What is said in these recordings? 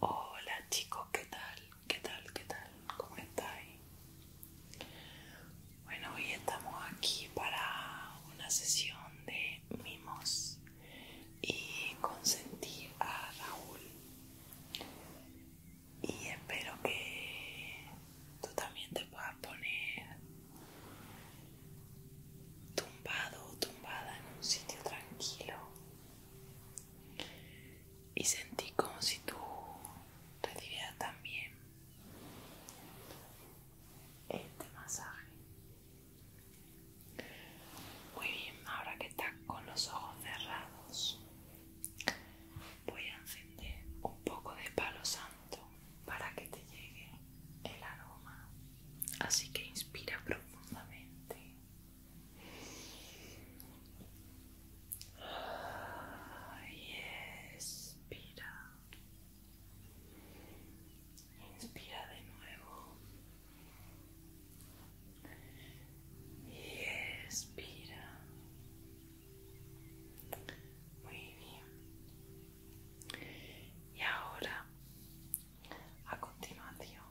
Hola chicos, ¿qué tal? ¿Qué tal? ¿Qué tal? ¿Cómo estáis? Bueno, hoy estamos aquí para una sesión de mimos y consentir a Raúl y espero que tú también te puedas poner tumbado o tumbada en un sitio tranquilo y sentir como si tú recibieras también este masaje muy bien, ahora que estás con los ojos cerrados, voy a encender un poco de palo santo para que te llegue el aroma. Así que inspira profundamente. Y expira. Inspira de nuevo y expira muy bien y ahora a continuación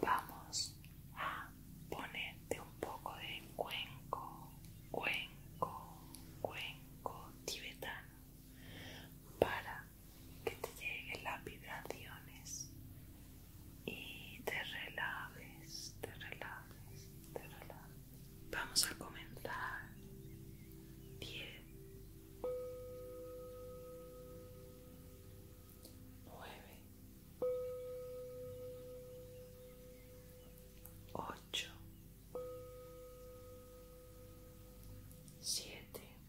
vamos a ponerte un poco de cuenco cuenco cuenco tibetano para que te lleguen las vibraciones y te relajes, te relajes, te relajes. Vamos a comenzar. 10, 9, 8, 7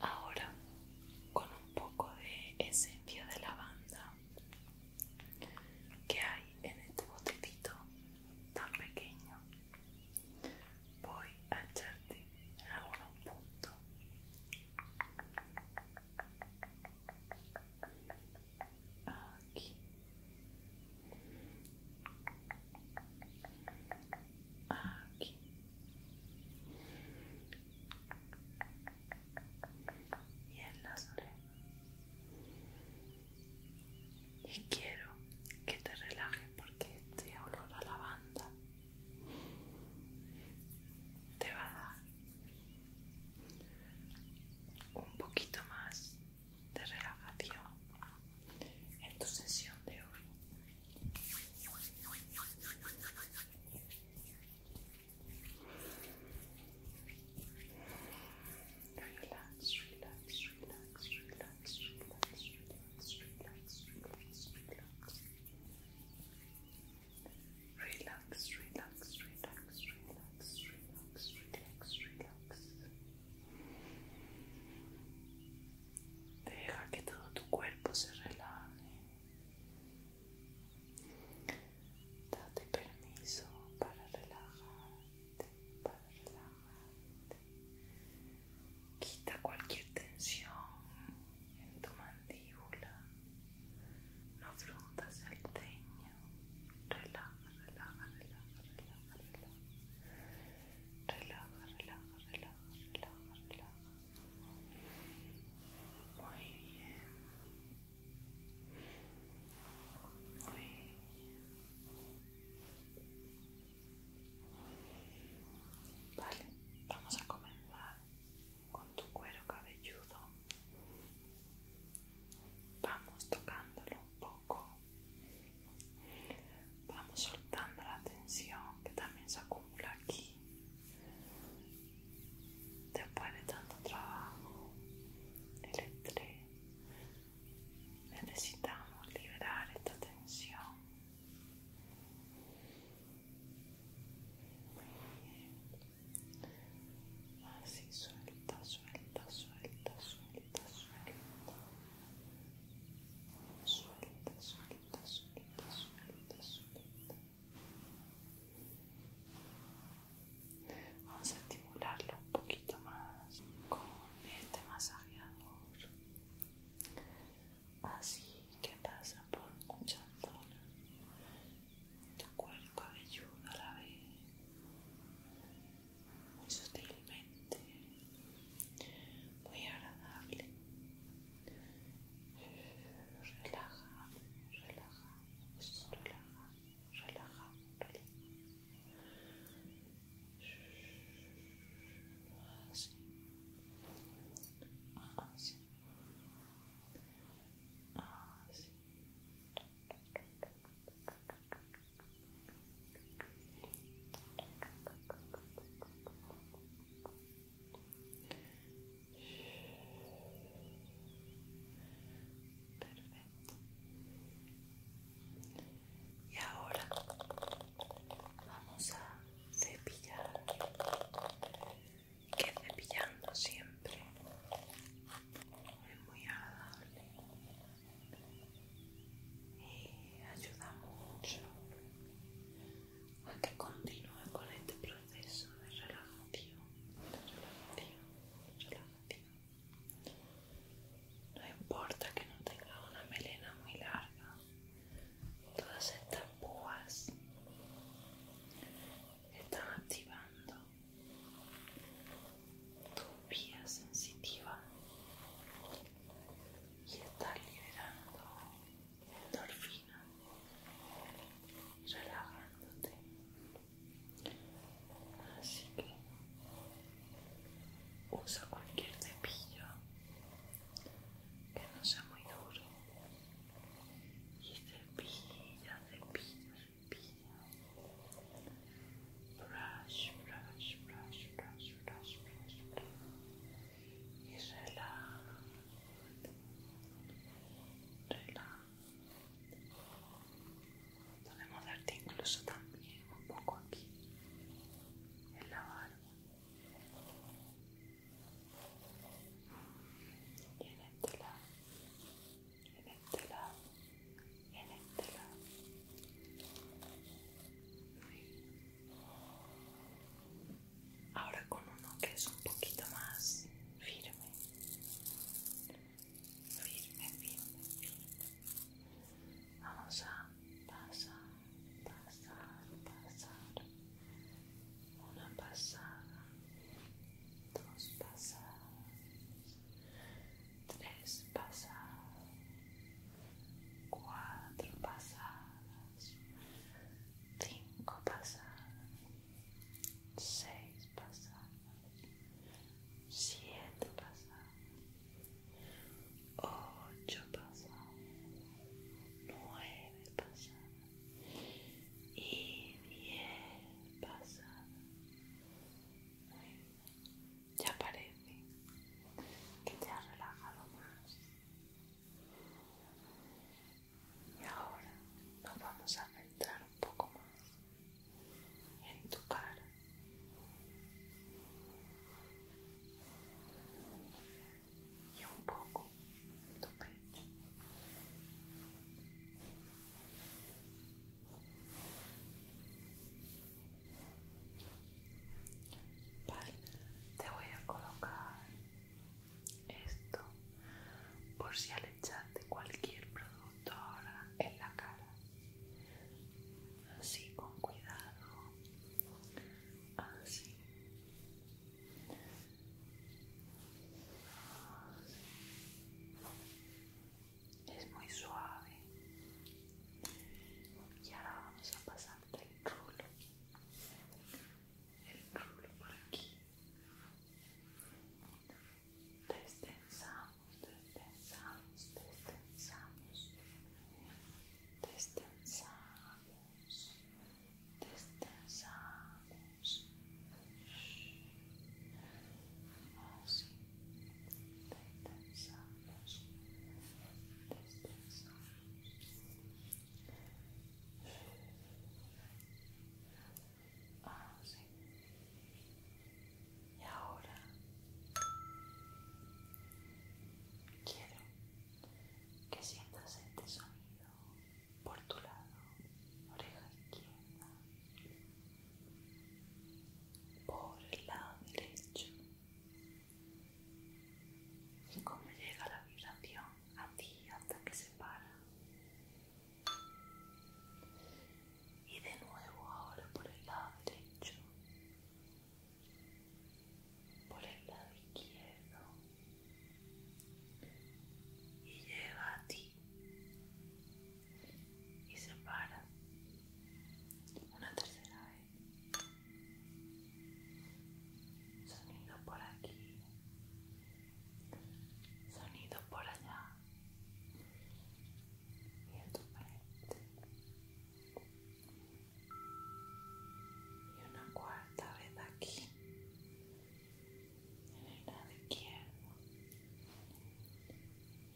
Ahora con un poco de esencia de lavanda que hay en este botecito tan pequeño voy a echarte en un punto aquí aquí y en las y quiero que te relajes porque este olor a lavanda te va a dar un poquito más de relajación en tu sesión de hoy. Relax, relax, relax, relax, relax, relax, relax, relax, relax. Relax, relax, relax, relax, relax, relax, relax. Deja que todo tu cuerpo se relaje. Date permiso para relajarte, para relajarte. Quita cualquier tensión en tu mandíbula. No frunzas el ceño. Relaja, relaja, relaja, relaja, relaja. Relaja, relaja, relaja, relaja, relaja. Muy bien. Muy bien. Vale, vamos a comenzar con tu cuero cabelludo. Vamos tocándolo un poco. Vamos soltando la tensión que también se acumula aquí. Después de tanto trabajo, el estrés, necesitamos liberar esta tensión Así suelta, suelta, suelta, suelta, suelta. Suelta, suelta, suelta, suelta, suelta. Vamos a estimularlo un poquito más con este masajeador así que pasa por un chantón. de cuerpo cabelludo a la vez muy sutilmente muy agradable relaja relaja relaja relaja relaja Así así, así. Perfecto. Y ahora vamos a cepillar que cepillando siempre es muy agradable y eh, ayuda mucho a que continúe con este proceso de relajación, de relajación, relajación. No importa que no tenga una melena muy larga, todas estas púas están activando tu vía sensitiva y están liberando endorfina relajándote así que usa cualquier cepillo que no sea muy duro y cepilla, cepilla, cepilla brush, brush, brush, brush, brush, brush, brush. y relaja relaja podemos darte incluso también un poco aquí en la barba y en este lado, en este lado, en este lado. Ahora con uno que es un poquito más firme. Firme, firme, firme. Vamos a pasar pasar, pasar, una pasada, dos pasadas, tres pasadas, cuatro pasadas, cinco pasadas, seis pasadas, siete pasadas, ocho pasadas, nueve pasadas y bien pasada. Ya parece que te has relajado más. Y ahora nos vamos a centrar un poco más en tu cara y un poco tu pecho. Vale, te voy a colocar esto por si al echarte cualquier producto ahora en la cara. Así con cuidado. Así es muy suave y ahora vamos a pasar el rulo el rulo por aquí destensamos destensamos destensamos destensamos descansamos así descansamos descansamos así y ahora quiero que sientas este sonido por tu lado, oreja izquierda, por el lado derecho. Y cómo llega la vibración a ti hasta que se para. Y de nuevo ahora por el lado derecho por el lado izquierdo y llega a ti y se para una tercera vez sonido por aquí sonido por allá y en tu frente y una cuarta vez aquí en el lado izquierdo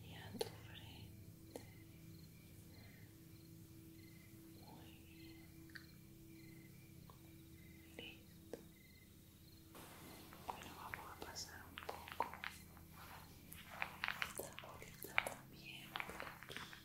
y a tu frente muy bien listo bueno vamos a pasar un poco esta bolita también por aquí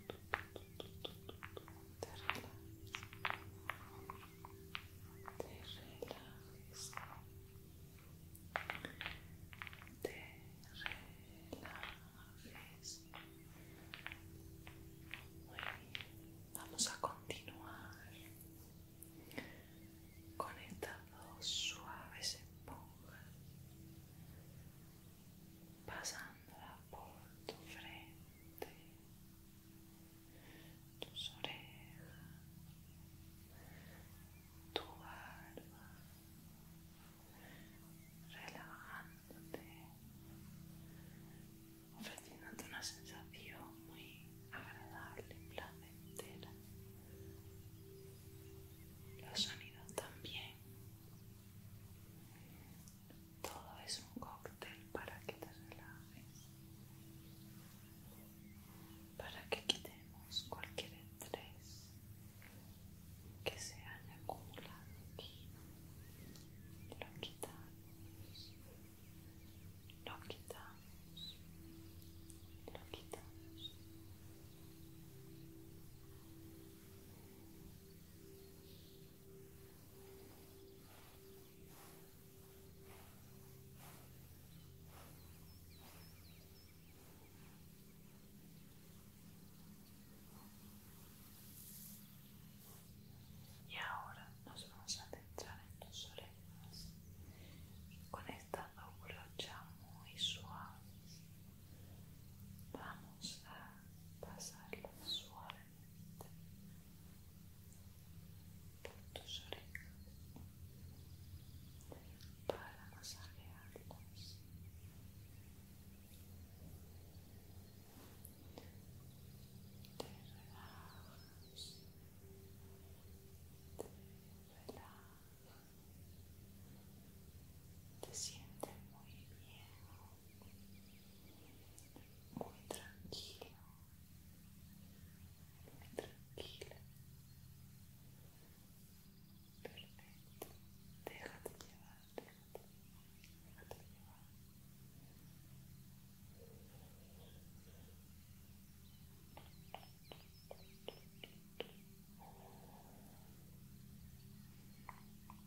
Te relajas. Te relajas. Te relajes. Muy bien. Vamos a continuar con estas dos suaves esponjas pasándola por tu frente, tus orejas, tu barba, relajándote, ofreciéndote una sensación muy agradable y placentera. Los sonidos también todo es un cóctel para que te relajes, para que quitemos cualquier estrés que se haya acumulado aquí. Lo quitamos, lo quitamos, lo quitamos. Y ahora nos vamos a centrar en tus orejas, con esta brocha muy suave. Vamos a la suave por tus orejas para masajearlas te relajas te relajas te sientes muy bien Muito tranquilo, muito tranquilo. Perfeito. Déjate llevar, déjate, déjate llevar. Muito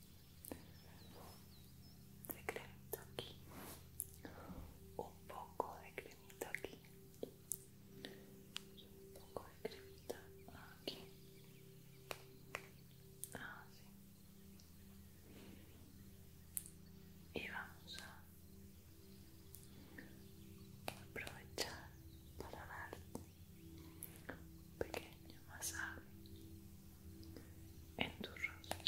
de aquí un poco de cremita aquí un poco de cremita aquí así ah, y vamos a aprovechar para darte un pequeño masaje en tu rostro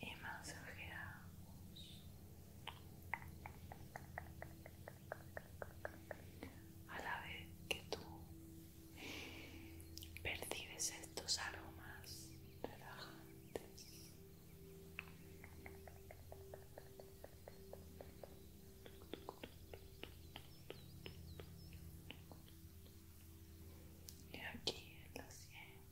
y masajeamos a la vez que tú percibes estos aromas relajantes y aquí en la sien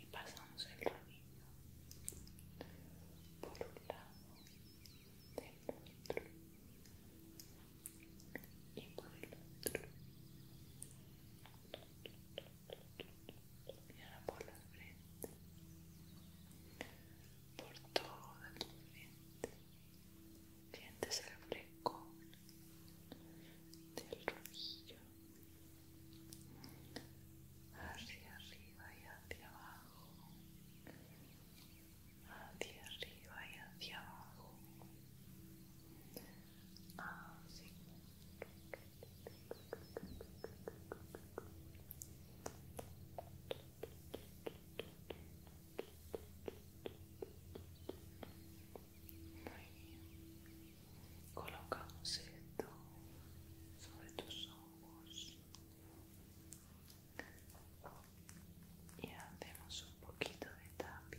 y pasamos el rodillo por un lado del otro y por el otro y por la frente por todo el frente sientes el frescor del rojillo hacia arriba y hacia abajo hacia arriba y hacia abajo Colocamos esto sobre tus ojos y hacemos un poquito de tapi.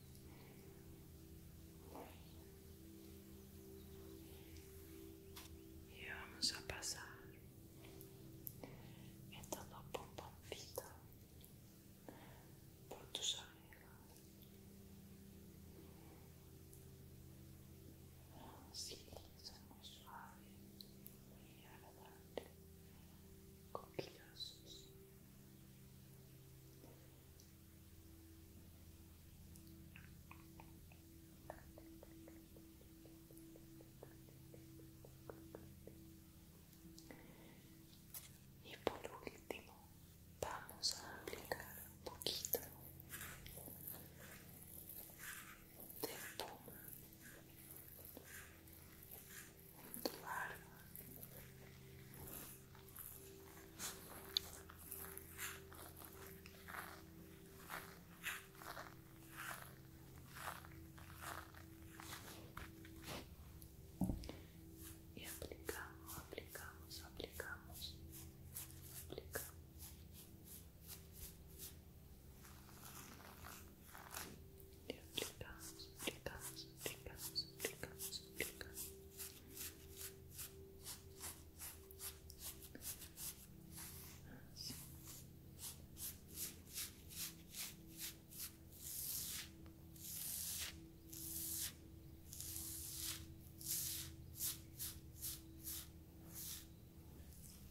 y vamos a pasar estos dos pomponcitos por tus orejas así son muy suaves muy agradables coquillosos y por último, vamos a aplicar un poquito de toma tu y aplicamos, aplicamos, aplicamos, aplicamos. Y aplicamos, aplicamos, aplicamos, aplicamos, aplicamos.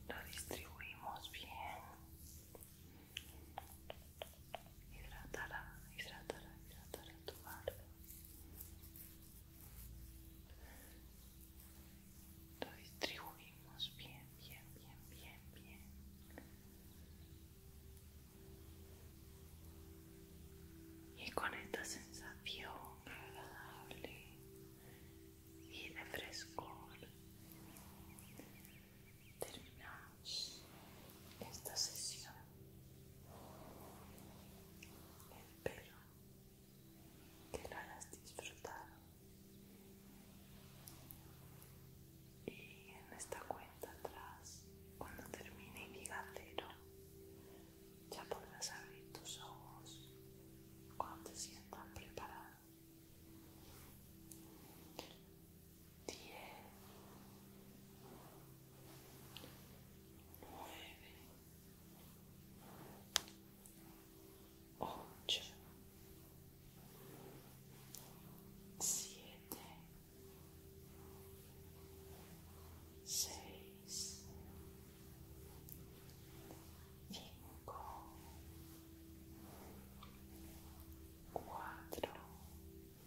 Lo distribuimos bien. Hidratará, hidratará, hidratará tu Lo distribuimos bien, bien, bien, bien, bien. Y con esta sensación agradable y de frescor terminamos esta sesión Espero que lo hayas disfrutado. Y en esta cuenta atrás, cuando termine y diga cero, ya podrás abrir tus ojos cuando te sientas preparado. Diez nueve, ocho, siete, seis, cinco, cuatro,